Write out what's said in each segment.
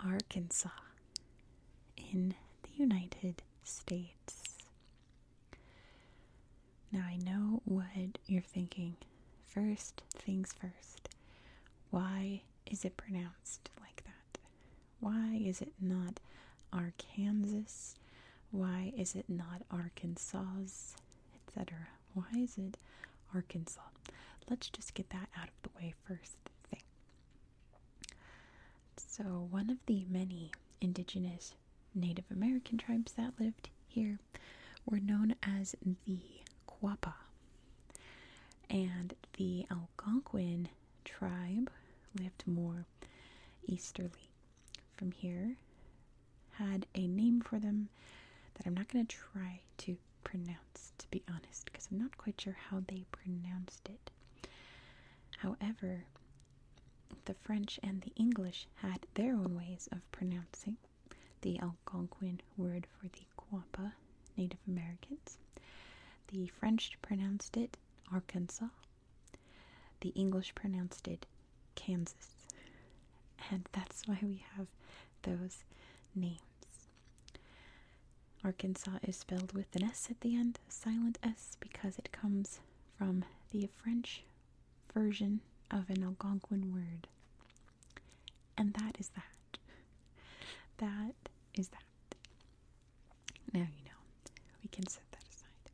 Arkansas in the United States. Now I know what you're thinking. First things first. Why is it pronounced like that? Why is it not Arkansas? Why is it not Arkansas? Etc. Why is it Arkansas? Let's just get that out of the way first. So, one of the many indigenous Native American tribes that lived here were known as the Quapaw. And the Algonquin tribe lived more easterly from here, had a name for them that I'm not going to try to Pronounced, to be honest, because I'm not quite sure how they pronounced it. However, the French and the English had their own ways of pronouncing the Algonquin word for the Quapaw Native Americans. The French pronounced it Arkansas. The English pronounced it Kansas. And that's why we have those names. Arkansas is spelled with an S at the end, silent S, because it comes from the French version of an Algonquin word. And that is that. That is that. Now you know. We can set that aside.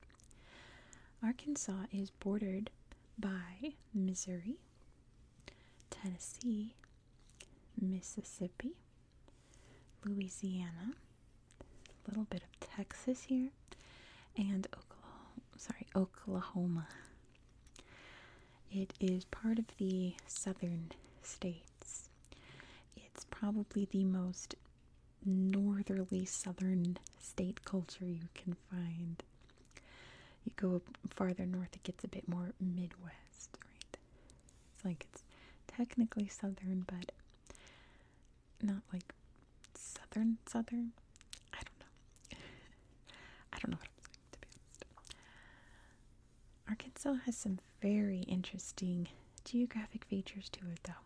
Arkansas is bordered by Missouri, Tennessee, Mississippi, Louisiana, a little bit of Texas here, and Oklahoma, sorry, Oklahoma. It is part of the southern states. It's probably the most northerly southern state culture you can find. You go farther north, it gets a bit more Midwest, right? It's like it's technically southern, but not like southern, southern. I don't know. I don't know what I'm saying, to be honest. Arkansas has some very interesting geographic features to it, though.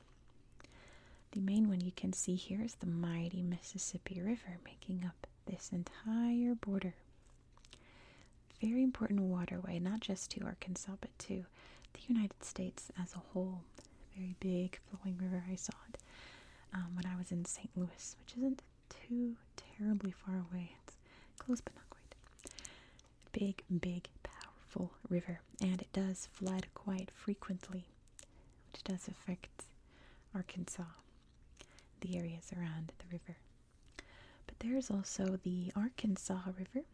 The main one you can see here is the mighty Mississippi River making up this entire border very important waterway, not just to Arkansas, but to the United States as a whole. Very big flowing river. I saw it um, when I was in St. Louis, which isn't too terribly far away. It's close, but not quite. Big, big, powerful river, and it does flood quite frequently, which does affect Arkansas, the areas around the river. But there's also the Arkansas River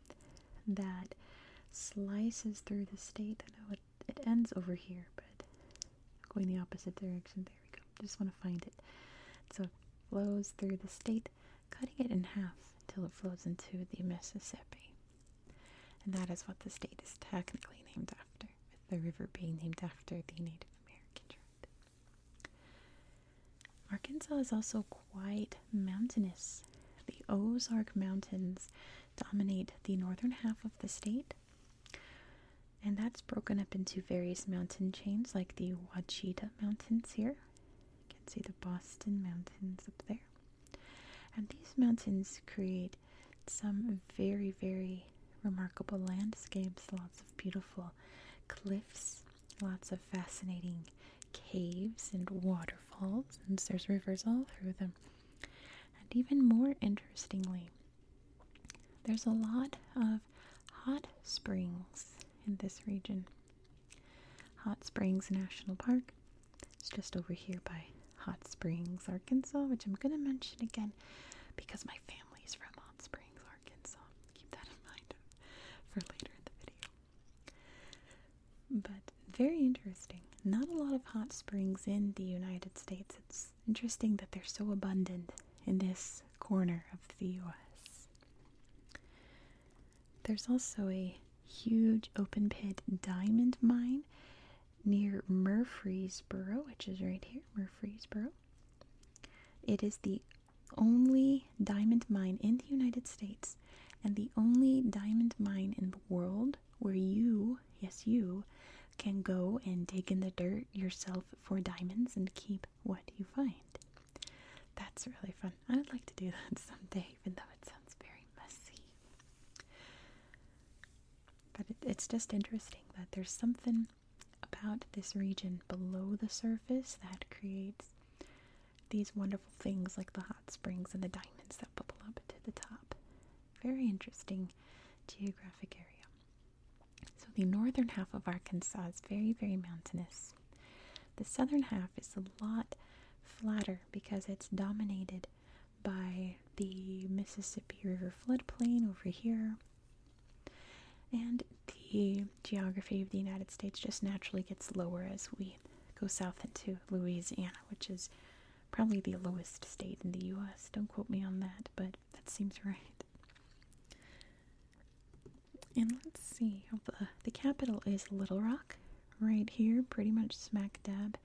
that slices through the state. I know it, ends over here, but going the opposite direction. There we go. Just want to find it. So it flows through the state, cutting it in half until it flows into the Mississippi. And that is what the state is technically named after, with the river being named after the Native American tribe. Arkansas is also quite mountainous. The Ozark Mountains dominate the northern half of the state, and that's broken up into various mountain chains like the Wachita Mountains here. You can see the Boston Mountains up there. And these mountains create some very, very remarkable landscapes, lots of beautiful cliffs, lots of fascinating caves and waterfalls, and there's rivers all through them. And even more interestingly, there's a lot of hot springs in this region. Hot Springs National Park. It's just over here by Hot Springs, Arkansas, which I'm going to mention again because my family's from Hot Springs, Arkansas. Keep that in mind for later in the video. But very interesting. Not a lot of hot springs in the United States. It's interesting that they're so abundant in this corner of the US. There's also a huge open pit diamond mine near Murfreesboro, which is right here, Murfreesboro. It is the only diamond mine in the United States and the only diamond mine in the world where you, yes, you, can go and dig in the dirt yourself for diamonds and keep what you find. That's really fun. I would like to do that someday, even though it sounds very messy. But it's just interesting that there's something about this region below the surface that creates these wonderful things like the hot springs and the diamonds that bubble up to the top. Very interesting geographic area. So, the northern half of Arkansas is very, very mountainous. The southern half is a lot flatter because it's dominated by the Mississippi River floodplain over here and the geography of the United States just naturally gets lower as we go south into Louisiana, which is probably the lowest state in the US. Don't quote me on that, but that seems right. And let's see, oh, the, capital is Little Rock, right here, pretty much smack dab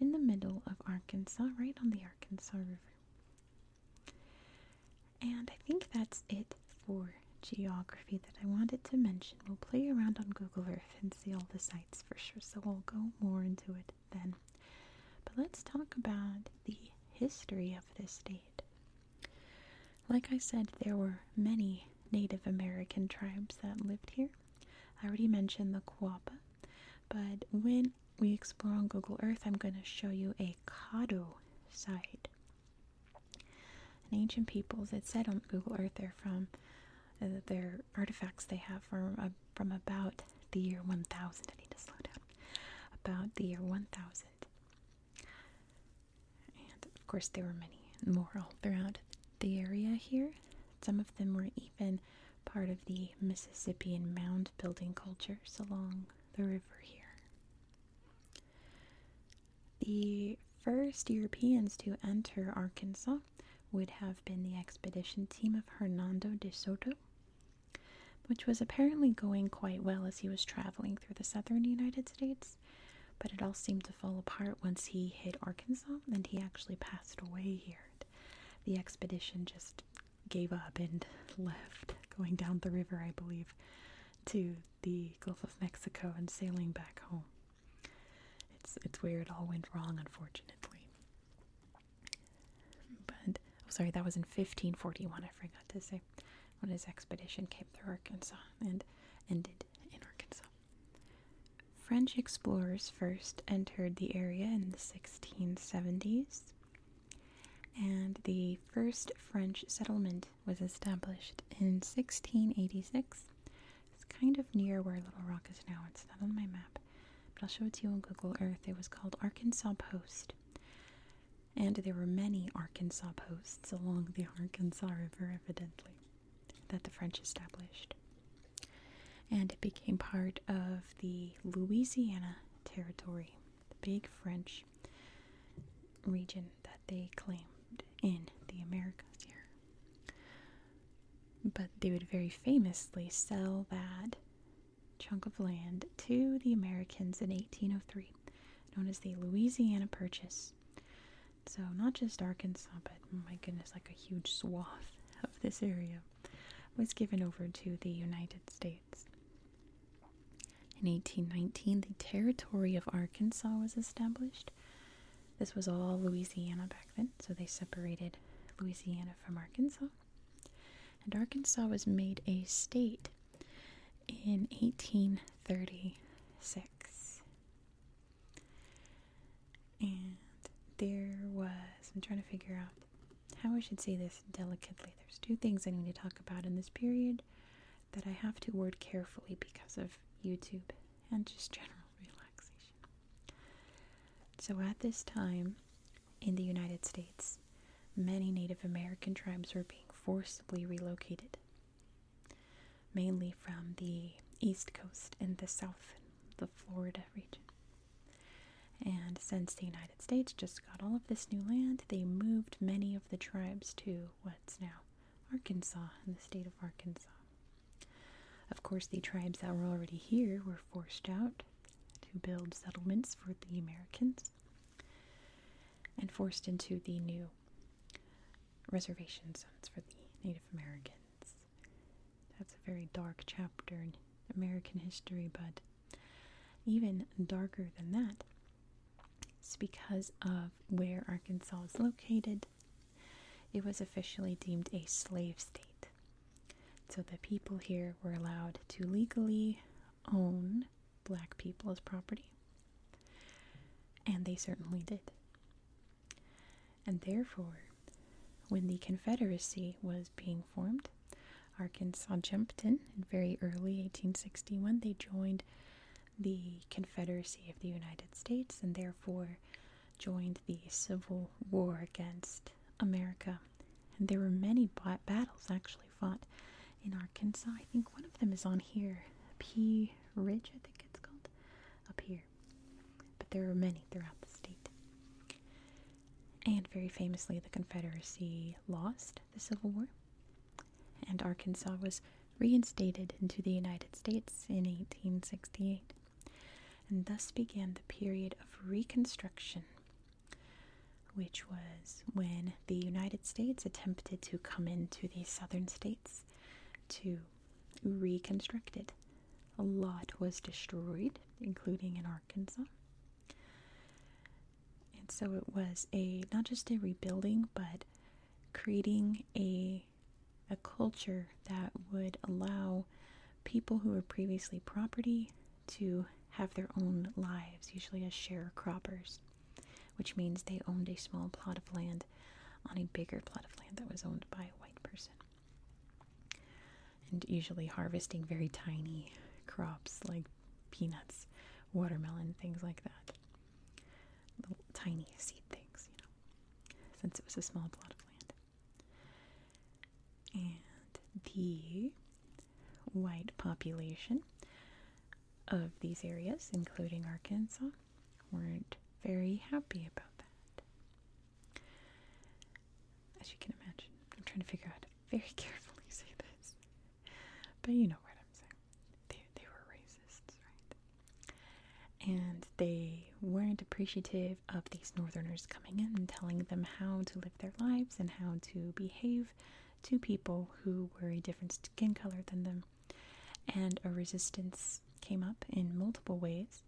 in the middle of Arkansas, right on the Arkansas River. And I think that's it for geography that I wanted to mention. We'll play around on Google Earth and see all the sites for sure, so we'll go more into it then. But let's talk about the history of this state. Like I said, there were many Native American tribes that lived here. I already mentioned the Quapaw, but when we explore on Google Earth, I'm going to show you a Kado site. An ancient people it said on Google Earth they're from, uh, their artifacts they have from, uh, from about the year 1000. I need to slow down. About the year 1000. And of course, there were many more all throughout the area here. Some of them were even part of the Mississippian mound building cultures along the river here. The first Europeans to enter Arkansas would have been the expedition team of Hernando de Soto, which was apparently going quite well as he was traveling through the southern United States, but it all seemed to fall apart once he hit Arkansas and he actually passed away here. The expedition just gave up and left, going down the river, I believe, to the Gulf of Mexico and sailing back home. It's it's where it all went wrong, unfortunately. But oh, sorry, that was in 1541. I forgot to say when his expedition came through Arkansas and ended in Arkansas. French explorers first entered the area in the 1670s and the first French settlement was established in 1686. It's kind of near where Little Rock is now. It's not on my map, but I'll show it to you on Google Earth. It was called Arkansas Post. And there were many Arkansas posts along the Arkansas River, evidently, that the French established. And it became part of the Louisiana Territory the big French region that they claimed in the Americas here. But they would very famously sell that chunk of land to the Americans in 1803, known as the Louisiana Purchase. So, not just Arkansas, but oh my goodness, like a huge swath of this area was given over to the United States. In 1819, the Territory of Arkansas was established. This was all Louisiana back then, so they separated Louisiana from Arkansas. And Arkansas was made a state in 1836. And there was, I'm trying to figure out how I should say this delicately. There's two things I need to talk about in this period that I have to word carefully because of YouTube and just general relaxation. So, at this time in the United States, many Native American tribes were being forcibly relocated, mainly from the East Coast and the South, the Florida region. And since the United States just got all of this new land, they moved many of the tribes to what's now Arkansas and the state of Arkansas. Of course, the tribes that were already here were forced out to build settlements for the Americans and forced into the new reservation zones for the Native Americans. That's a very dark chapter in American history, but even darker than that, it's because of where Arkansas is located. It was officially deemed a slave state. So the people here were allowed to legally own black people as property. And they certainly did. And therefore, when the Confederacy was being formed, Arkansas jumped in very early 1861. They joined the Confederacy of the United States and therefore joined the Civil War against America. And there were many battles actually fought in Arkansas. I think one of them is on here. P Ridge, I think it's called. Up here. But there were many throughout the state. And very famously, the Confederacy lost the Civil War, and Arkansas was reinstated into the United States in 1868. And thus began the period of Reconstruction, which was when the United States attempted to come into the southern states to reconstruct it. A lot was destroyed, including in Arkansas. And so it was a not just a rebuilding, but creating a a culture that would allow people who were previously property to have their own lives, usually as sharecroppers, which means they owned a small plot of land on a bigger plot of land that was owned by a white person and usually harvesting very tiny crops like peanuts, watermelon, things like that. Little tiny seed things, you know, since it was a small plot of land. And the white population of these areas, including Arkansas, weren't very happy about that. As you can imagine, I'm trying to figure out very carefully say this, but you know what I'm saying. They, were racists, right? And they weren't appreciative of these northerners coming in and telling them how to live their lives and how to behave to people who were a different skin color than them. And a resistance came up in multiple ways,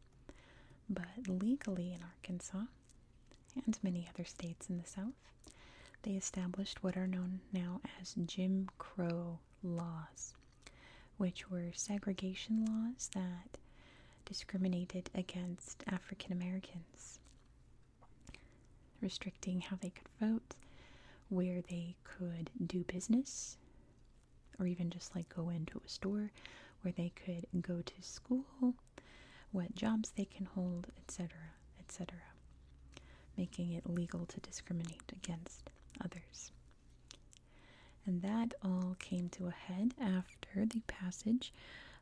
but legally in Arkansas, and many other states in the South, they established what are known now as Jim Crow laws, which were segregation laws that discriminated against African Americans, restricting how they could vote, where they could do business, or even just like go into a store, where they could go to school, what jobs they can hold, etc., etc., making it legal to discriminate against others. And that all came to a head after the passage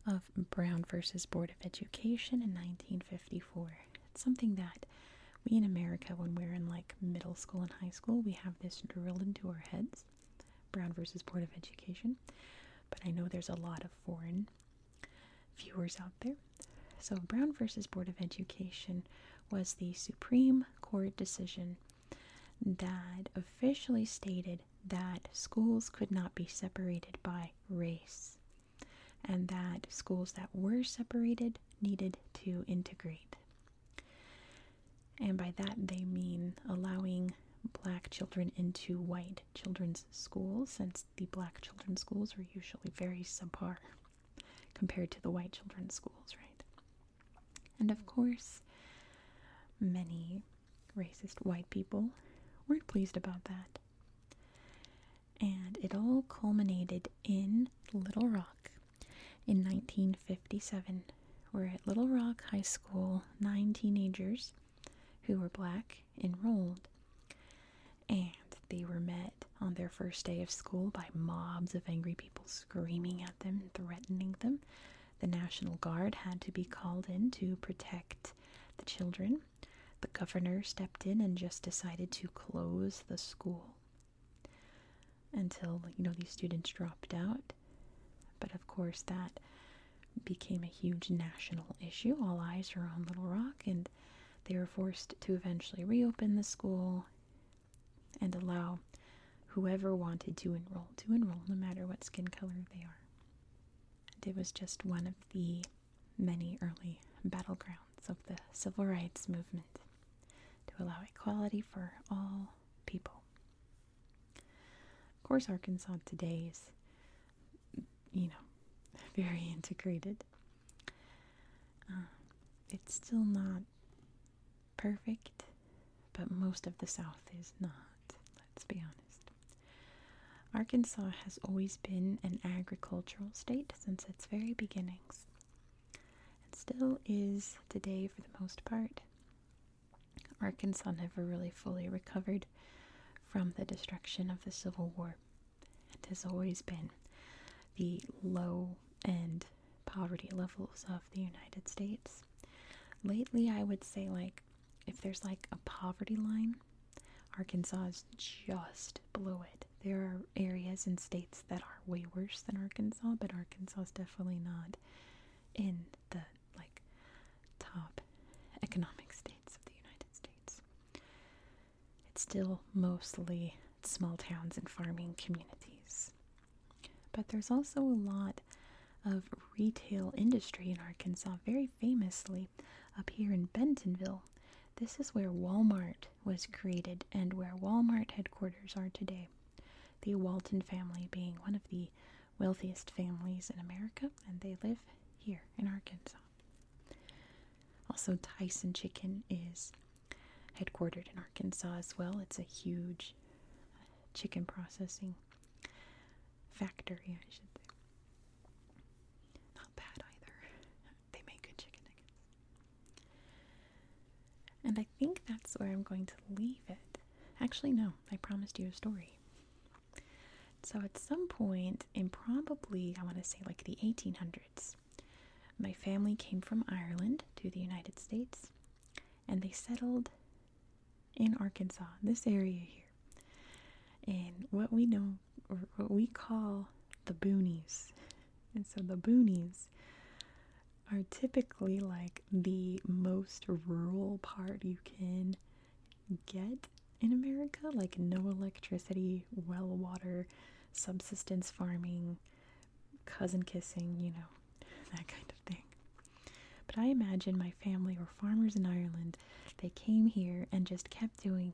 of Brown versus Board of Education in 1954. It's something that we in America, when we're in like middle school and high school, we have this drilled into our heads Brown versus Board of Education. But I know there's a lot of foreign viewers out there. So, Brown versus Board of Education was the Supreme Court decision that officially stated that schools could not be separated by race and that schools that were separated needed to integrate. And by that, they mean allowing black children into white children's schools since the black children's schools were usually very subpar compared to the white children's schools, right? And of course, many racist white people weren't pleased about that. And it all culminated in Little Rock in 1957, where at Little Rock High School, nine teenagers who were black enrolled. And they were met on their first day of school by mobs of angry people screaming at them threatening them. The National Guard had to be called in to protect the children. The governor stepped in and just decided to close the school until you know these students dropped out but of course, that became a huge national issue. All eyes were on Little Rock, and they were forced to eventually reopen the school and allow whoever wanted to enroll to enroll, no matter what skin color they are. And it was just one of the many early battlegrounds of the civil rights movement to allow equality for all people. Of course, Arkansas today is, you know, very integrated. Um, it's still not perfect, but most of the South is not, let's be honest. Arkansas has always been an agricultural state since its very beginnings, and still is today for the most part. Arkansas never really fully recovered from the destruction of the Civil War and has always been the low end poverty levels of the United States. Lately, I would say, like, if there's like a poverty line, Arkansas is just below it. There are areas and states that are way worse than Arkansas, but Arkansas is definitely not in the like top economic states of the United States. It's still mostly small towns and farming communities. But there's also a lot of retail industry in Arkansas, very famously up here in Bentonville. This is where Walmart was created and where Walmart headquarters are today. The Walton family being one of the wealthiest families in America, and they live here in Arkansas. Also, Tyson Chicken is headquartered in Arkansas as well. It's a huge uh, chicken processing factory, I should say. Not bad either. they make good chicken And I think that's where I'm going to leave it. Actually, no, I promised you a story. So at some point in probably, I want to say like the 1800s, my family came from Ireland to the United States and they settled in Arkansas, this area here, And what we know or what we call the boonies. And so the boonies are typically like the most rural part you can get in America. Like, no electricity, well water, subsistence farming, cousin kissing, you know, that kind of thing. But I imagine my family were farmers in Ireland. They came here and just kept doing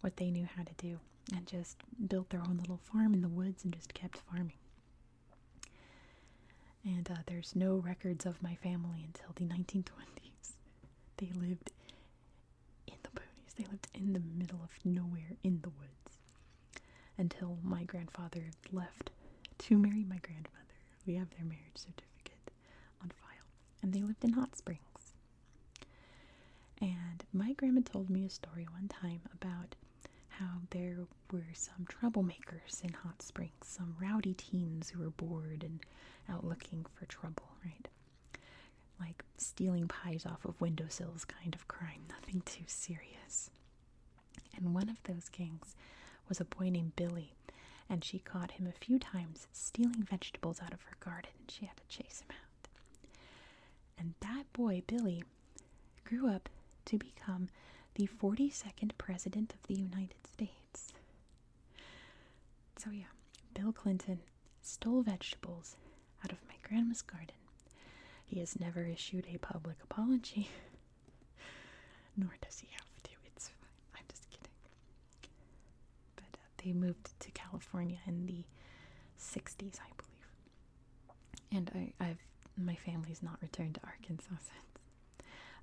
what they knew how to do and just built their own little farm in the woods and just kept farming. And uh, there's no records of my family until the 1920s. They lived in the ponies. they lived in the middle of nowhere in the woods until my grandfather left to marry my grandmother. We have their marriage certificate on file. And they lived in Hot Springs. And my grandma told me a story one time about how there were some troublemakers in Hot Springs, some rowdy teens who were bored and out looking for trouble, right? Like stealing pies off of windowsills kind of crime, nothing too serious. And one of those gangs was a boy named Billy, and she caught him a few times stealing vegetables out of her garden, and she had to chase him out. And that boy, Billy, grew up to become the 42nd President of the United States. So, yeah, Bill Clinton stole vegetables out of my grandma's garden. He has never issued a public apology, nor does he have to. It's fine. I'm just kidding. But uh, they moved to California in the 60s, I believe. And I, I've my family's not returned to Arkansas since.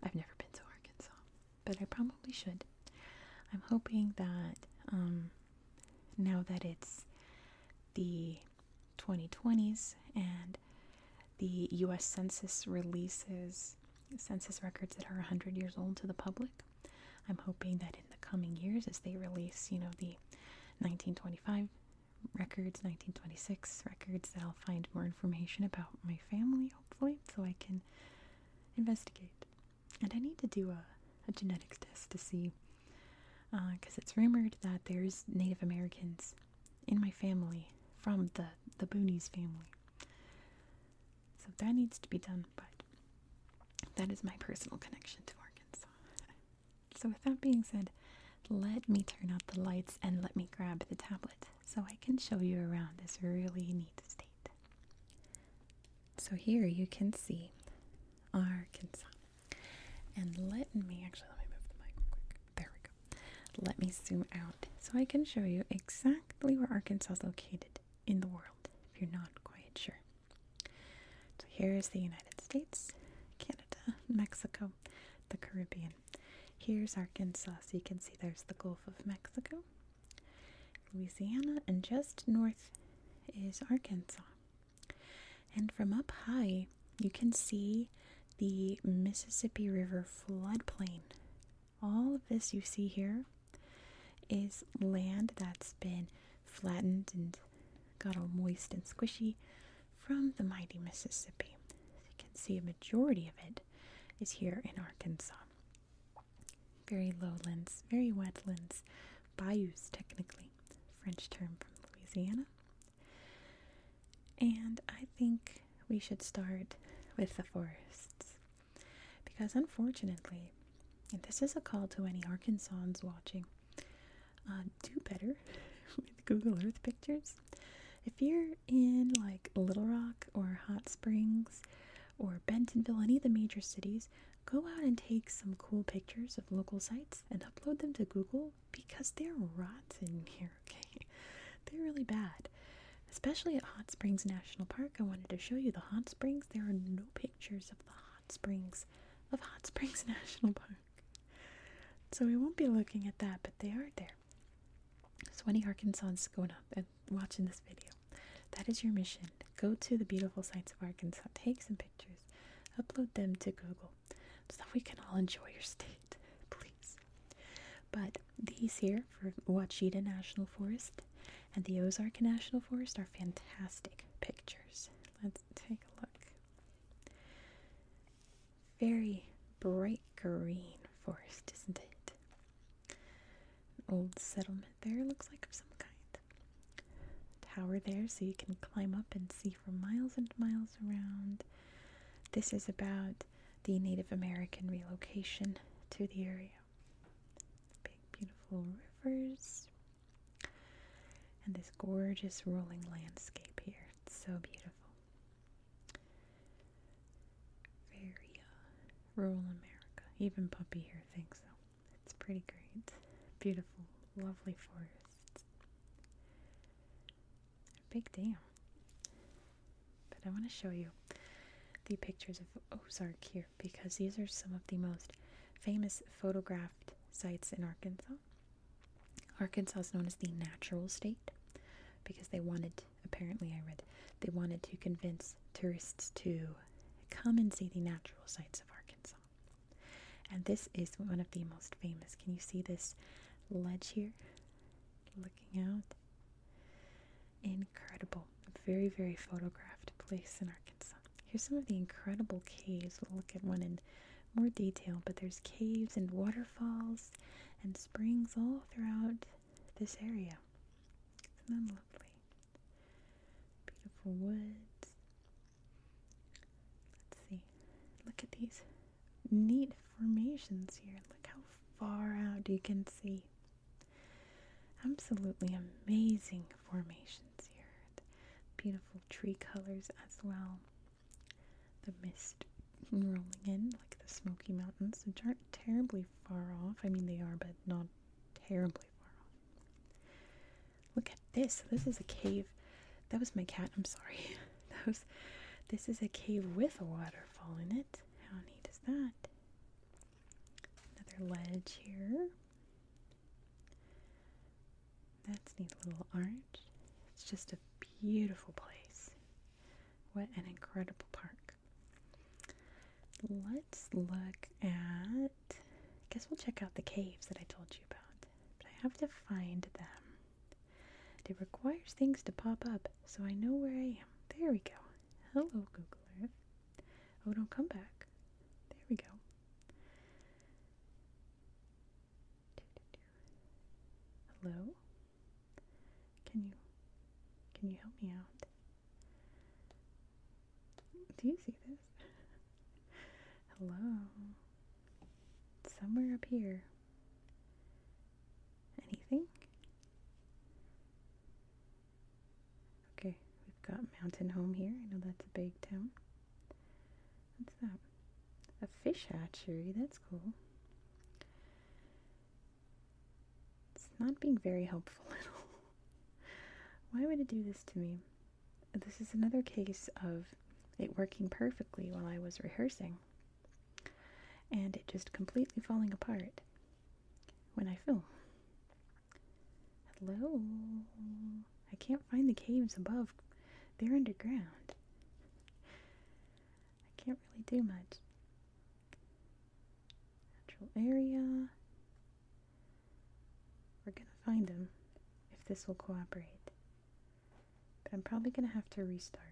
I've never been to Arkansas, but I probably should. I'm hoping that um, now that it's the 2020s and the US Census releases census records that are 100 years old to the public. I'm hoping that in the coming years, as they release, you know, the 1925 records, 1926 records, that I'll find more information about my family, hopefully, so I can investigate. And I need to do a, a genetics test to see, because uh, it's rumored that there's Native Americans in my family from the, the Boonies family. So that needs to be done, but that is my personal connection to Arkansas. So, with that being said, let me turn out the lights and let me grab the tablet so I can show you around this really neat state. So here you can see Arkansas. And let me actually let me move the mic quick. There we go. Let me zoom out so I can show you exactly where Arkansas is located in the world if you're not quite sure. So here is the United States, Canada, Mexico, the Caribbean. Here's Arkansas, you can see there's the Gulf of Mexico, Louisiana, and just north is Arkansas. And from up high, you can see the Mississippi River floodplain. All of this you see here is land that's been flattened and got all moist and squishy from the mighty Mississippi. As you can see, a majority of it is here in Arkansas. Very lowlands, very wetlands, bayous, technically, French term from Louisiana. And I think we should start with the forests. Because unfortunately, and this is a call to any Arkansans watching, uh, do better with Google Earth pictures if you're in like Little Rock or Hot Springs or Bentonville, any of the major cities, go out and take some cool pictures of local sites and upload them to Google because they're rotten here, okay? They're really bad. Especially at Hot Springs National Park, I wanted to show you the hot springs. There are no pictures of the hot springs of Hot Springs National Park. So we won't be looking at that, but they are there there. So any Arkansans going up and watching this video, that is your mission. Go to the beautiful sights of Arkansas, take some pictures, upload them to Google, so that we can all enjoy your state, please. But these here for Ouachita National Forest and the Ozark National Forest are fantastic pictures. Let's take a look very bright green forest, isn't it? old settlement there, looks like of some kind. Tower there, so you can climb up and see for miles and miles around. This is about the Native American relocation to the area. Big, beautiful rivers, and this gorgeous rolling landscape here. It's so beautiful. Very uh, rural America. Even Puppy here thinks so. It's pretty great. Beautiful, lovely forests. A big dam. But I want to show you the pictures of Ozark here because these are some of the most famous photographed sites in Arkansas. Arkansas. is known as the natural state because they wanted, apparently, I read, they wanted to convince tourists to come and see the natural sights of Arkansas. And this is one of the most famous. Can you see this ledge here? Looking out. Incredible. Very, very photographed place in Arkansas. Here's some of the incredible caves. We'll look at one in more detail, but there's caves and waterfalls and springs all throughout this area. is lovely? Beautiful woods. Let's see. Look at these neat formations here. Look how far out you can see. Absolutely amazing formations here. Beautiful tree colors as well the mist rolling in, like the Smoky Mountains, which aren't terribly far off. I mean, they are, but not terribly far off. Look at this. This is a cave. That was my cat. I'm sorry. that This is a cave with a waterfall in it. How neat is that? Another ledge here. That's neat little arch. It's just a beautiful place. What an incredible park. Let's look at I guess we'll check out the caves that I told you about. But I have to find them. It requires things to pop up so I know where I am. There we go. Hello, Google Earth. Oh, don't come back. There we go. Hello? Can you can you help me out? Do you see this? Hello? Somewhere up here. Anything? Okay, we've got Mountain Home here. I know that's a big town. What's that? A fish hatchery. That's cool. It's not being very helpful at all. Why would it do this to me? This is another case of it working perfectly while I was rehearsing and it just completely falling apart when I film. Hello? I can't find the caves above. They're underground. I can't really do much. Natural area. We're gonna find them if this will cooperate. But I'm probably gonna have to restart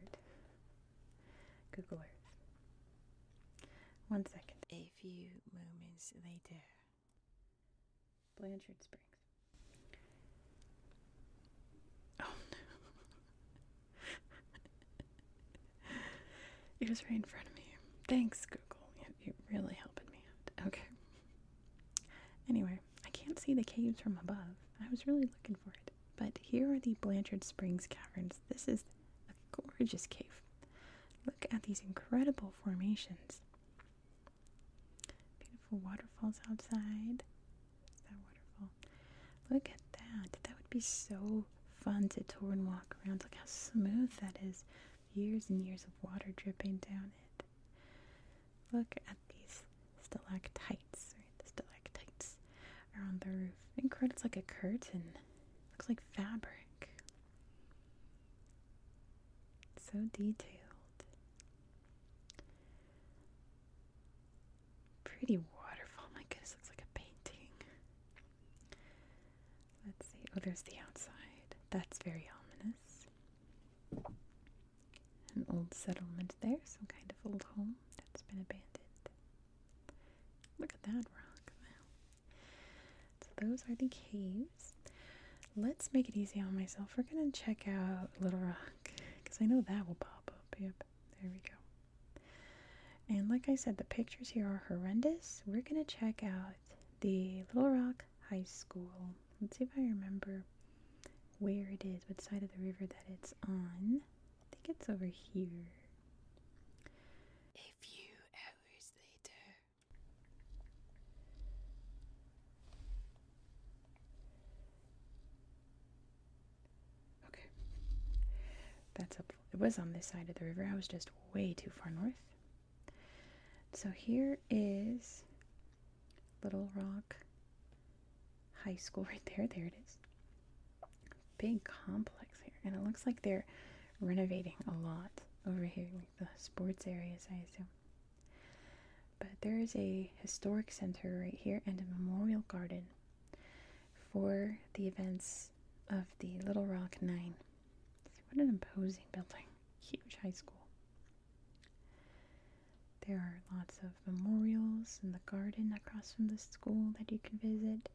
Google Earth. One second. A few moments later. Blanchard Springs. Oh no. it was right in front of me. Thanks, Google. You, you really helping me out. Okay. Anyway, I can't see the caves from above. I was really looking for it. But here are the Blanchard Springs Caverns. This is a gorgeous cave. Look at these incredible formations. Beautiful waterfalls outside. Is that waterfall? Look at that. That would be so fun to tour and walk around. Look how smooth that is. Years and years of water dripping down it. Look at these stalactites. Right? The stalactites are on the roof. Incredible. It's like a curtain. Looks like fabric. So detailed. Pretty waterfall. My goodness, looks like a painting. Let's see. Oh, there's the outside. That's very ominous. An old settlement there, some kind of old home that's been abandoned. Look at that rock. So those are the caves. Let's make it easy on myself. We're going to check out Little Rock because I know that will pop up. Yep, there we go. And like I said, the pictures here are horrendous. We're going to check out the Little Rock High School. Let's see if I remember where it is, what side of the river that it's on. I think it's over here. A few hours later. Okay. That's helpful. It was on this side of the river. I was just way too far north. So here is Little Rock High School right there. There it is. Big complex here. And it looks like they're renovating a lot over here, like the sports areas, I assume but there is a historic center right here and a memorial garden for the events of the Little Rock Nine. What an imposing building! Huge high school. There are lots of memorials in the garden across from the school that you can visit.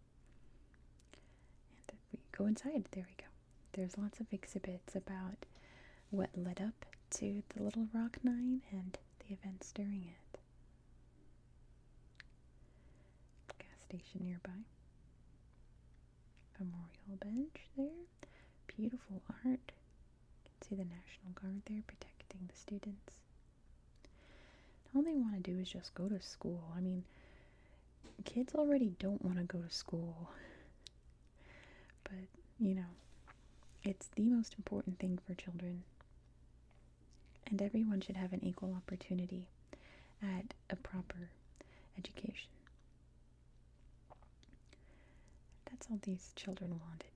And if we go inside, there we go. There's lots of exhibits about what led up to the Little Rock Nine and the events during it. Gas station nearby. Memorial bench there. Beautiful art. You can see the National Guard there protecting the students. All they want to do is just go to school. I mean, kids already don't want to go to school. But, you know, it's the most important thing for children. And everyone should have an equal opportunity at a proper education. That's all these children wanted.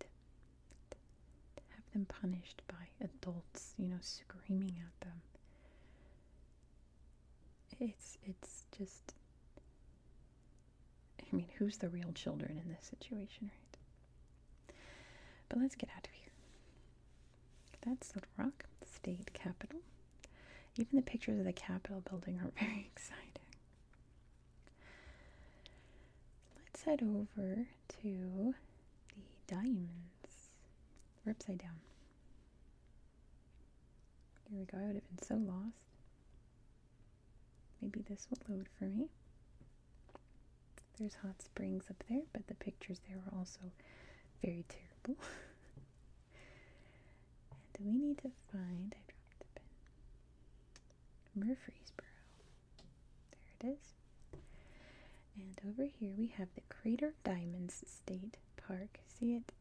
Have them punished by adults, you know, screaming at them. It's it's just I mean, who's the real children in this situation, right? But let's get out of here. That's Little Rock, state Capitol. Even the pictures of the Capitol building are very exciting. Let's head over to the diamonds. We're upside down. Here we go. I would have been so lost. Maybe this will load for me. There's hot springs up there, but the pictures there were also very terrible. and we need to find, I dropped the pen, Murfreesboro. There it is. And over here we have the Crater Diamonds State Park. See it?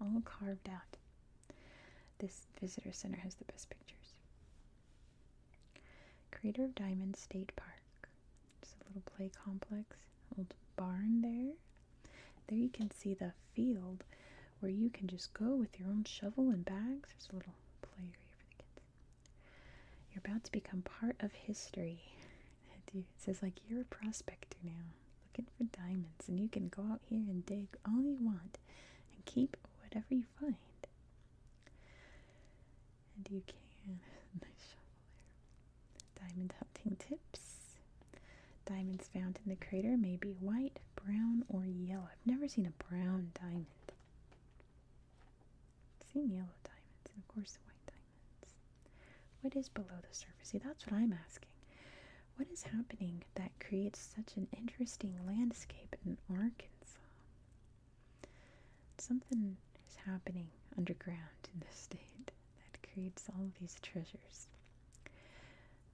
All carved out. This visitor center has the best pictures. Creator of Diamond State Park. Just a little play complex, old barn there. There you can see the field where you can just go with your own shovel and bags. There's a little play area for the kids. You're about to become part of history. It says like you're a prospector now looking for diamonds, and you can go out here and dig all you want and keep whatever you find. And you can Diamond hunting tips. Diamonds found in the crater may be white, brown, or yellow. I've never seen a brown diamond. seen yellow diamonds and of course white diamonds. What is below the surface? See, that's what I'm asking. What is happening that creates such an interesting landscape in Arkansas? Something is happening underground in this state that creates all of these treasures.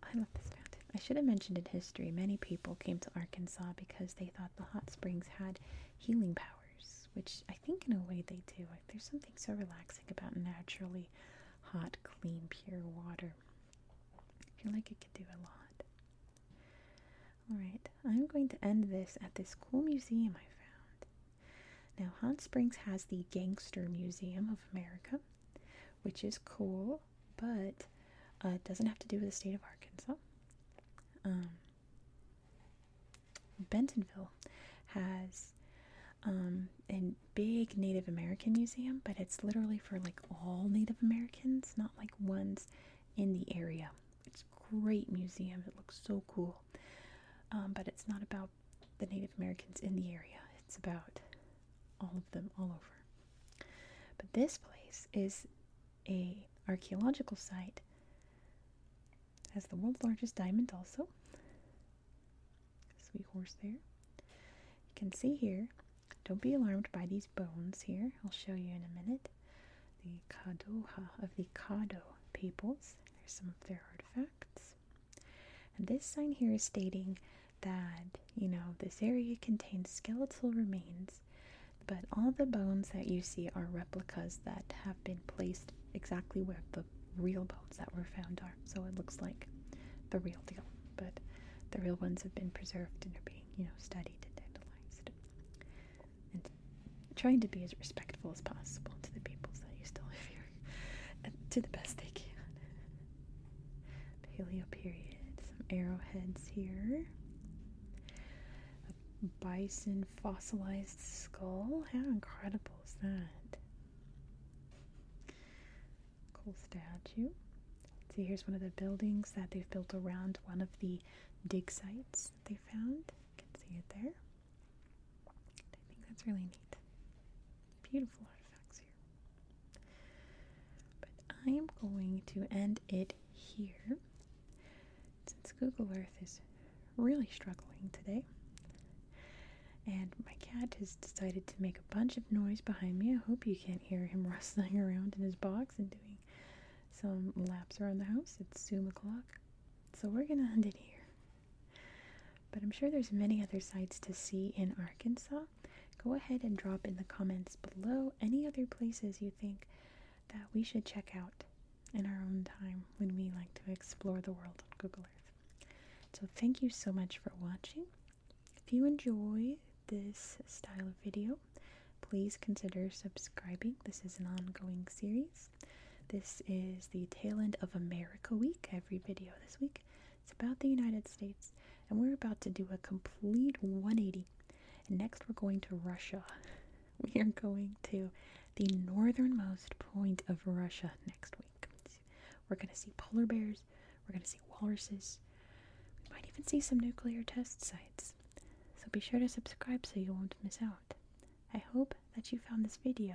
I love this fountain. I should have mentioned in history, many people came to Arkansas because they thought the hot springs had healing powers, which I think in a way they do. there's something so relaxing about naturally hot, clean, pure water. I feel like it could do a lot. Alright, I'm going to end this at this cool museum I found. Now, Hot Springs has the Gangster Museum of America, which is cool, but uh, it doesn't have to do with the state of Arkansas. Um, Bentonville has um, big Native American museum, but it's literally for like all Native Americans, not like ones in the area. It's great museum. It looks so cool. Um, but it's not about the Native Americans in the area. It's about all of them all over. But this place is a archaeological site. Has the world's largest diamond also sweet horse there. You can see here, don't be alarmed by these bones here. I'll show you in a minute. The Kadoha of the Kado peoples. There's some of their artifacts. this sign here is stating that, you know, this area contains skeletal remains, but all the bones that you see are replicas that have been placed exactly where the real bones that were found are. So it looks like the real deal but the real ones have been preserved and are being, you know, studied and analyzed. And trying to be as respectful as possible to the peoples that used to live here, and to the best they can. Paleo period. Some arrowheads here. A bison fossilized skull. How incredible is that? Cool statue. See, here's one of the buildings that they've built around one of the dig sites that they found. You can see it there. I think that's really neat. Beautiful artifacts here. But I'm going to end it here. Since Google Earth is really struggling today, and my cat has decided to make a bunch of noise behind me. I hope you can't hear him rustling around in his box and doing some laps around the house. It's Zoom o'clock. So we're going to end it here. But I'm sure there's many other sites to see in Arkansas. Go ahead and drop in the comments below any other places you think that we should check out in our own time when we like to explore the world on Google Earth. So thank you so much for watching. If you enjoy this style of video, please consider subscribing. This is an ongoing series. This is the tail end of America Week, every video this week. It's about the United States, and we're about to do a complete 180. And next, we're going to Russia. We are going to the northernmost point of Russia next week. We're going to see polar bears. We're going to see walruses. We might even see some nuclear test sites. So be sure to subscribe so you won't miss out. I hope that you found this video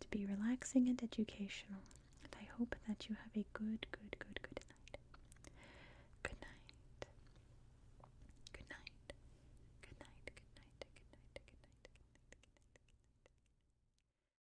to be relaxing and educational. And I hope that you have a good, good, good, good night. Good night. Good night. Good night. Good night. Good night. Good night. Good night. Good night.